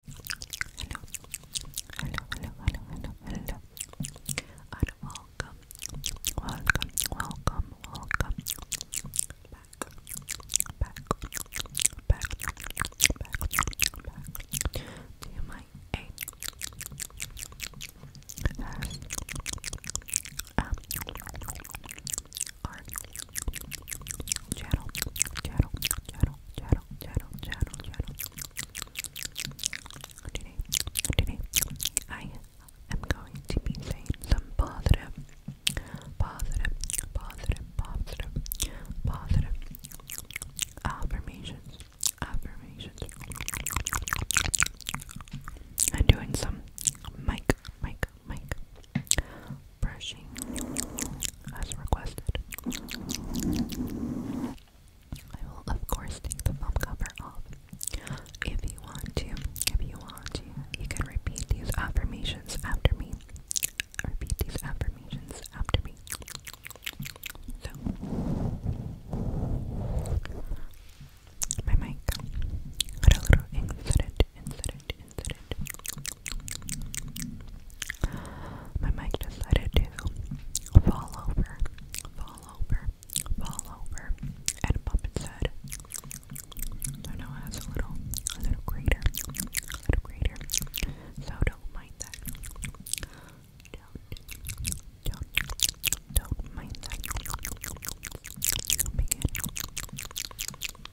Hello, hello, hello, hello, hello, hello, and welcome, welcome, welcome, welcome back, back, back, back, back to my eight S M R Channel, I am going to be saying some positive, positive, positive, positive, positive affirmations, affirmations. I'm doing some mic, mic, mic brushing as requested. I will of course take the foam cover off. If you want to, if you want you can repeat these affirmations after me. Repeat these affirmations after me. So, my mic got a little incident insert it, My mic decided to fall over, fall over, fall over, and bump its head. So now it has a little, a little crater, a little crater. So don't mind that. Don't, don't, don't mind that.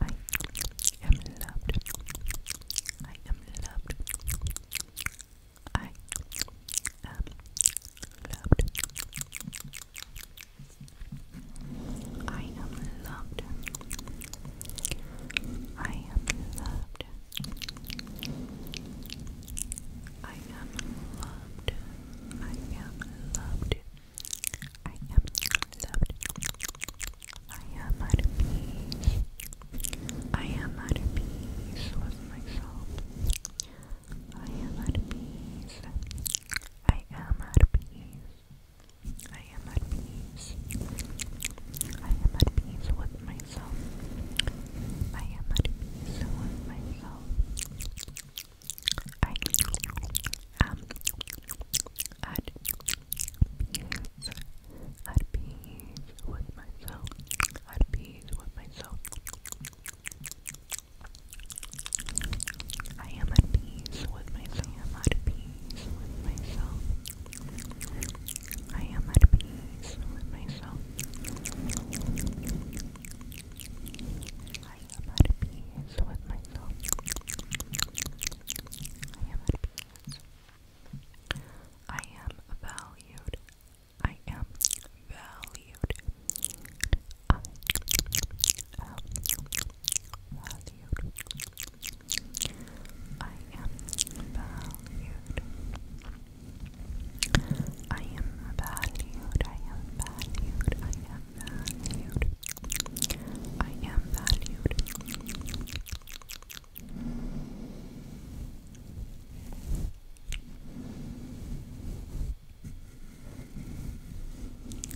I am loved. I am loved. I am loved. I am loved. I am loved. I am loved. I am loved. I am loved. I am at peace. I am at peace with myself. I am at peace. I am at peace. I am at peace. I am at peace with myself. I am at peace with myself. I am at peace. At At peace with myself. I am at peace with myself. I am at peace with myself. I am at peace with myself. I am at peace with myself. I am at I am valued. I am valued. I am valued. I am valued. I am valued. I am valued. I am valued. I am valued. I am valued.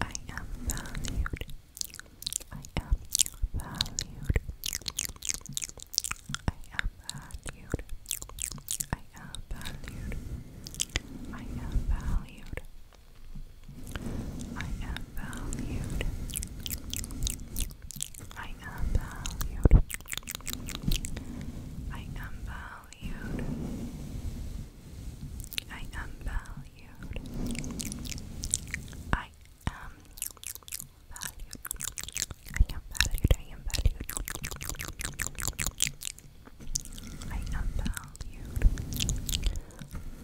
I am valued. I am valued. I am valued. I am valued. valued. I am valued. I am valued. I am valued. I am valued. I am valued. I am valued. I am valued. I am valued.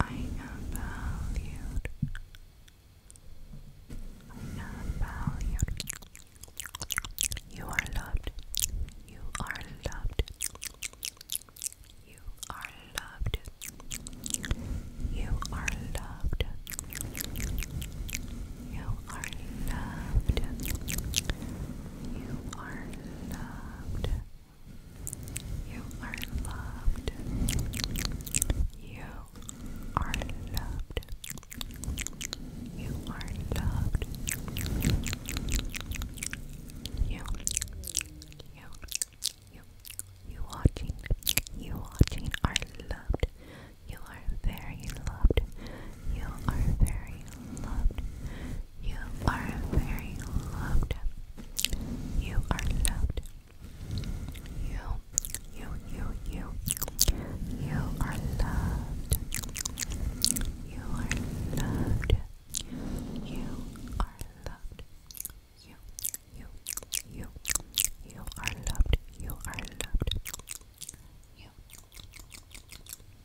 I am valued. I am valued. You are loved. You are loved. You are loved. You are loved. You are loved. You are loved. You are loved. You are loved. You are loved. You, you, you, you watching, you watching are loved. You are very loved. You are very loved. You are very loved. You are loved. You, you, you, you. You are loved. You are loved. You are loved. You, you, you. You are loved. You are loved. You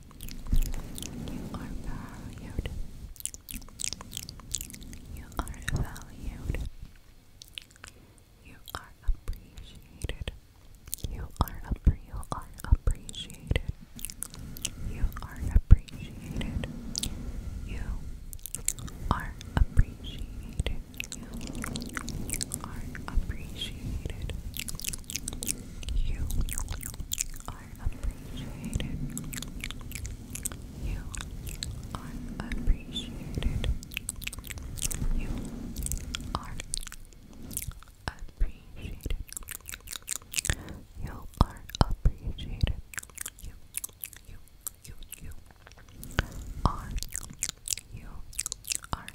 you are valued. You are valued. You are appreciated. You are appreciated. You are appreciated. You are appreciated. You are appreciated. You are appreciated. You are appreciated. You are appreciated. You are appreciated. You, you, you, you are. You are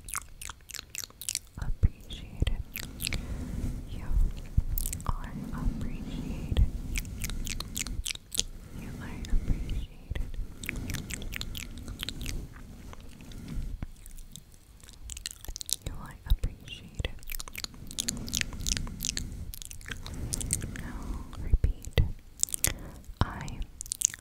appreciated. You are appreciated. You are appreciated. You are appreciated. repeat. I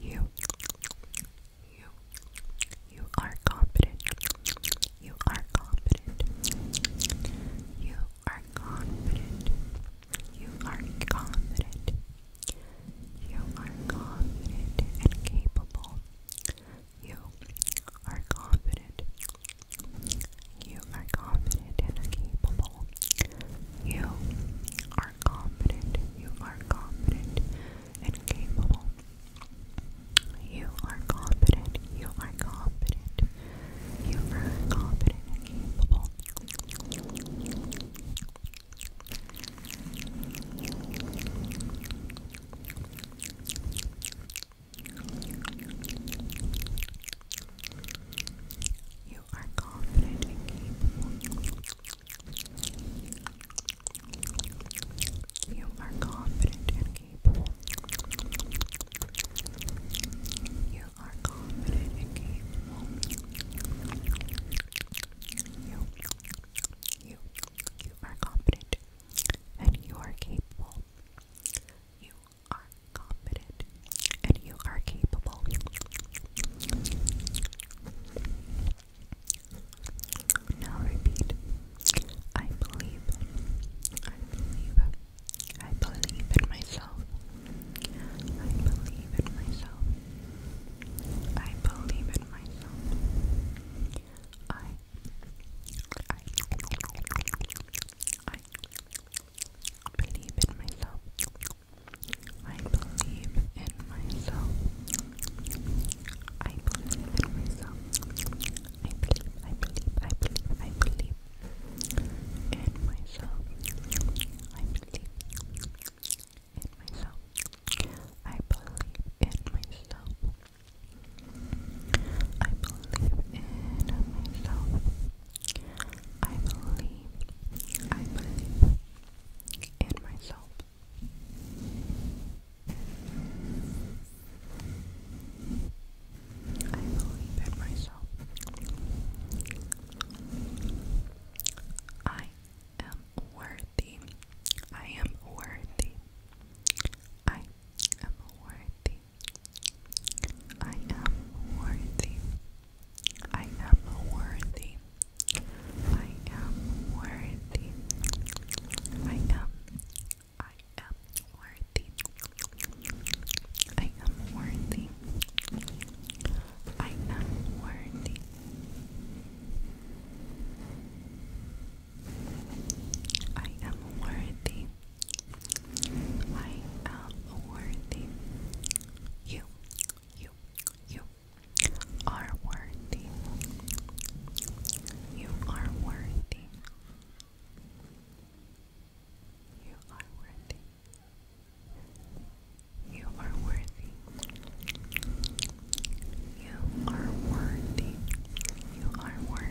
You, you, you are competent. You are competent. You are confident. You are confident. You are confident and capable. You are confident you are confident and capable. You are confident. You are confident and capable. You are confident. You are confident. You are confident and capable. You are confident and capable. You are confident and capable. You are confident and capable. You, you, you are confident and you are capable. You are confident and you are capable. Now repeat. I believe. I believe. I believe in myself. I believe in myself. I believe in myself. I I I believe in myself. I believe in myself. I believe in myself. I believe, I believe, I believe, I believe in myself. I believe in myself. I believe in myself. I believe in myself. I believe, I believe in myself. I believe in myself. I am worthy. I am worthy. I am worthy. I am worthy. I am worthy. I am worthy. I am. I am worthy. I am worthy. I am worthy. I am worthy. I am worthy. You, you, you are worthy. You are worthy. You are worthy. You are worthy. You are worthy. You are worthy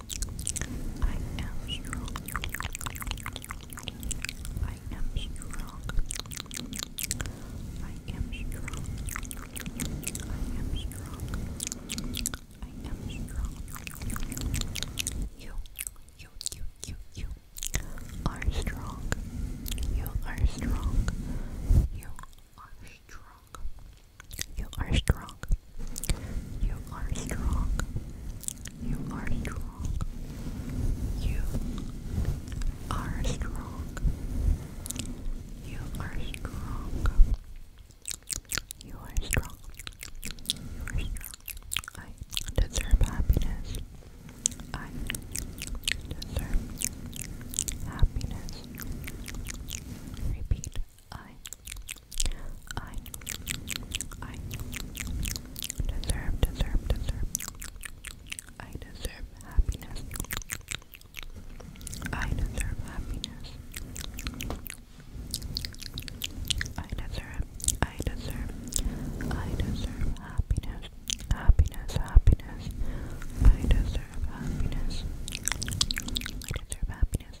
I am strong. I am strong. I am strong. I am strong. I am strong. You, you, you, you, you are strong. You are strong. You are strong. You are strong. You are strong. You are strong. You are strong. You are strong. You are strong. You are strong. I deserve happiness. I deserve happiness. Repeat. I, I, I deserve, deserve, deserve. I deserve happiness. I deserve happiness. I deserve, I deserve, I deserve happiness. Happiness, happiness. I deserve happiness. I deserve happiness.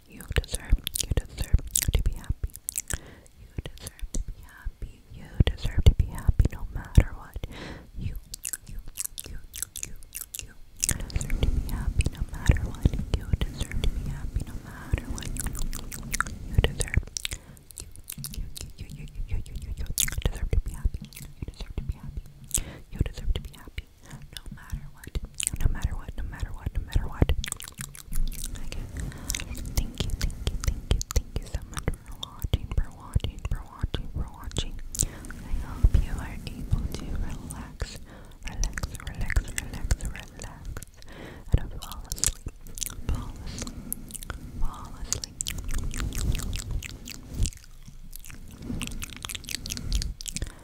You deserve, you deserve to be happy. You deserve to be happy. You deserve to be happy no matter what. You, you, you, you, you deserve to be happy no matter what. You deserve to be happy no matter what. You deserve. You, you, you, you, you, you, you, you, you deserve to be happy. You deserve to be happy. You deserve to be happy no matter what, no matter what, no matter what, no matter what. Thank you, thank you, thank you, thank you so much for watching, for watching, for watching. I hope you are able to relax, relax, relax, relax, relax, and fall asleep, fall asleep, fall asleep.